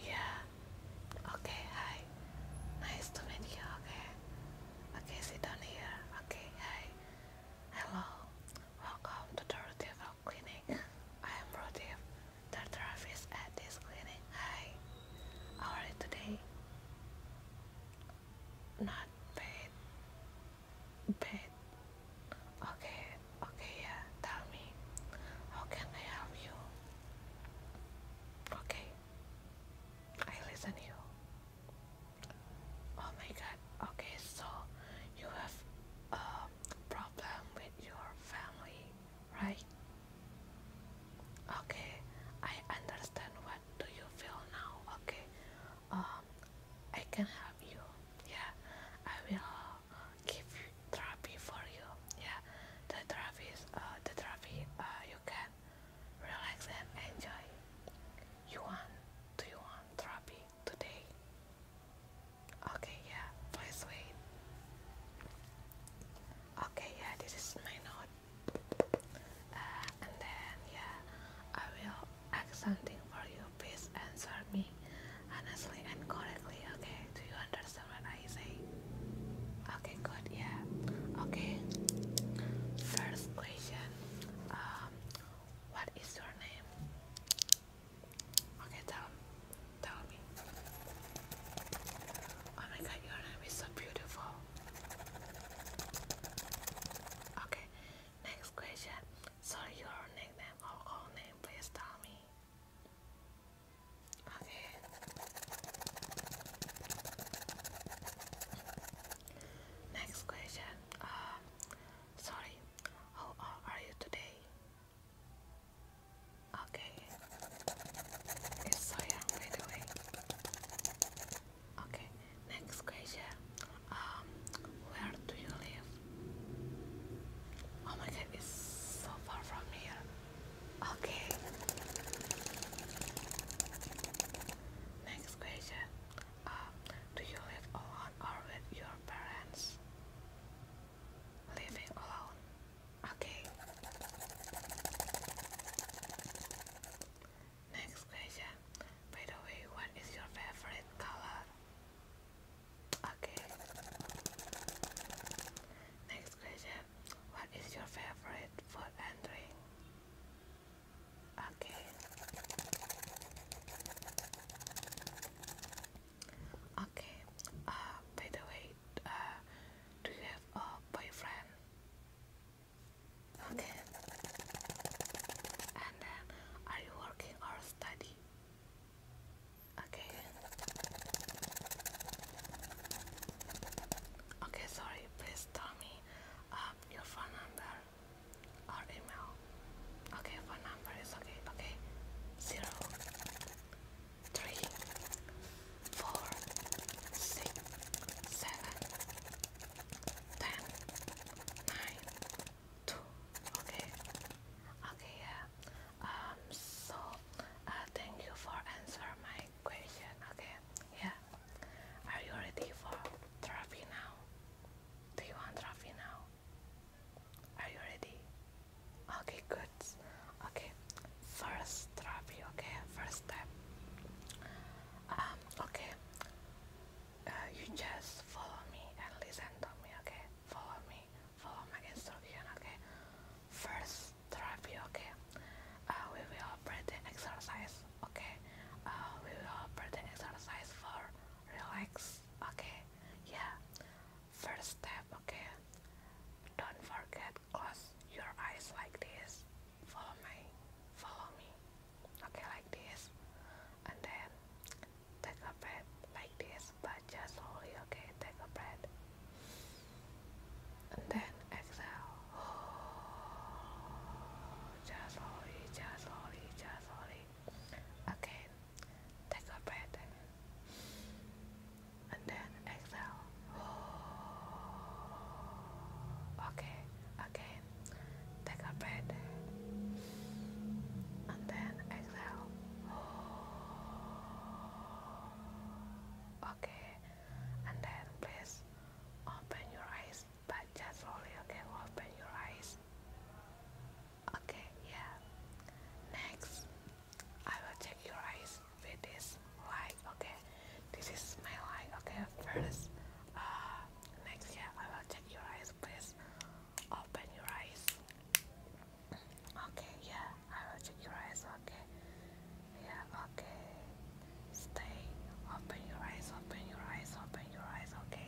Yeah. Okay, hi. Nice to meet you, okay? Okay, sit down here. Okay, hi. Hello. Welcome to the Clinic. I am Rotif, the therapist at this clinic. Hi. How are you today? Not bad bed. Okay, okay, yeah. Tell me, how can I help you? Okay, I listen you. Oh my God. Okay, so you have a problem with your family, right? Okay, I understand. What do you feel now? Okay, um, I can help you. Yeah, I will uh, give therapy for you. Yeah, the therapy uh, the therapy uh, you can relax and enjoy. You want? Do you want therapy today? Okay, yeah. Please wait. Okay, yeah. This is my note, uh, and then yeah, I will accenting for you. Please answer me honestly and correctly, okay? Do you understand what I say? Okay, good, yeah. Okay. First question. Um what is your name? Okay, tell tell me. Oh my god, your name is so beautiful. Okay, Next question. So your nickname or call name, please tell me. Okay. Next question. Um, sorry, how old are you today? Okay. It's so young, by the way. Okay, next question. Um, where do you live? Oh my god, it's so far from here. Okay. Next question. Uh, do you live alone or with your parents? Living alone. Okay. Next question. By the way, what is your favorite color? Okay. Next question. What is your favorite food and drink? Okay. Okay. Uh, by the way, uh, do you have a boyfriend? Okay. And then, are you working or study? Okay. Okay, sorry. Please tell me um, your phone number or email. Okay, phone number is okay. Okay, zero, three, four, six, seven, ten, nine, two. Okay, okay, yeah. Um, so uh, thank you for answering my question. Okay, yeah. Are you ready for therapy now? Do you want therapy now? Are you ready? Okay, good. Okay, first therapy. Okay, first step. Um, okay, uh, you just follow me and listen to me. Okay, follow me, follow my instruction. Okay, first therapy. Okay, uh, we will practice exercise. Okay, uh, we will practice exercise for relax. Okay, yeah. First step. Okay, don't forget close your eyes like this. Follow me, follow me. Okay, like this. And then take a breath like this, but just slowly, okay? Take a breath. And then exhale. Just slowly, just slowly, just slowly. Again, Take a breath. And then exhale. Okay, again. Take a breath. And then exhale. Okay. And then please open your eyes, but just slowly, okay? Open your eyes. Okay, yeah. Next, I will check your eyes with this light. Okay, this is my light. Okay, first, uh, next, yeah, I will check your eyes. Please open your eyes. Okay, yeah, I will check your eyes. Okay, yeah, okay. Stay. Open your eyes. Open your eyes. Open your eyes. Okay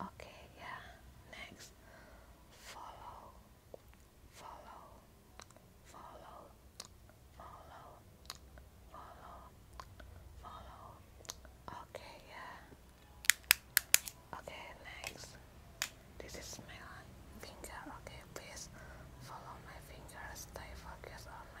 Okay, yeah. Next, follow, follow, follow, follow, follow, follow. Okay, yeah. Okay, next. This is my finger. Okay, please follow my fingers. Stay focused on my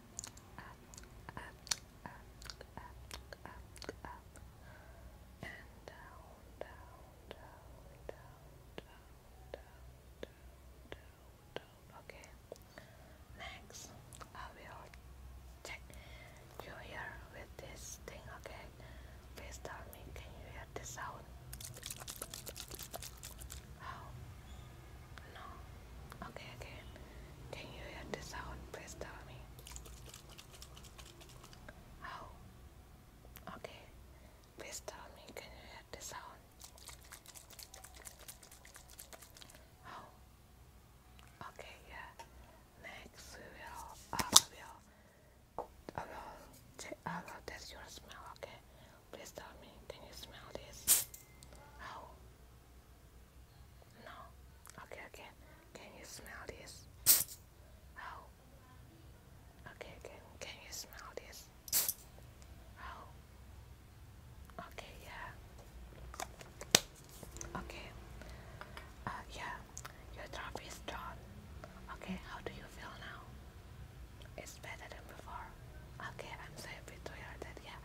up, up, up, up, up, up, and down, down, down, down, down, down, down, down, down. Okay. Next, I will check you here with this thing. Okay. Please tell me, can you hear this sound? Oh. No. Okay, okay. Can you hear the sound? Please tell me. Oh. Okay. Please tell me, can you hear the sound? Oh. Okay, yeah. Next we will, I uh, will, I will, I will test your smell, okay? Please tell me, can you smell this? Oh. No. Okay, okay. Can you smell this? Oh. Okay, can, can you smell this? Oh. Okay, yeah. Okay. Uh, yeah. Your job is done. Okay, how do you feel now? it's better than before. Okay, I'm so happy to hear that. Yeah.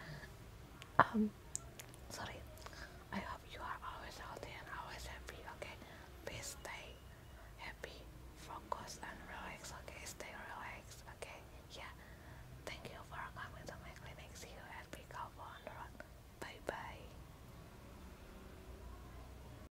Um, sorry. I hope you are always healthy and always happy. Okay, please stay happy, focus, and relax. Okay, stay relaxed. Okay, yeah. Thank you for coming to my clinic. See you at Big Bye bye.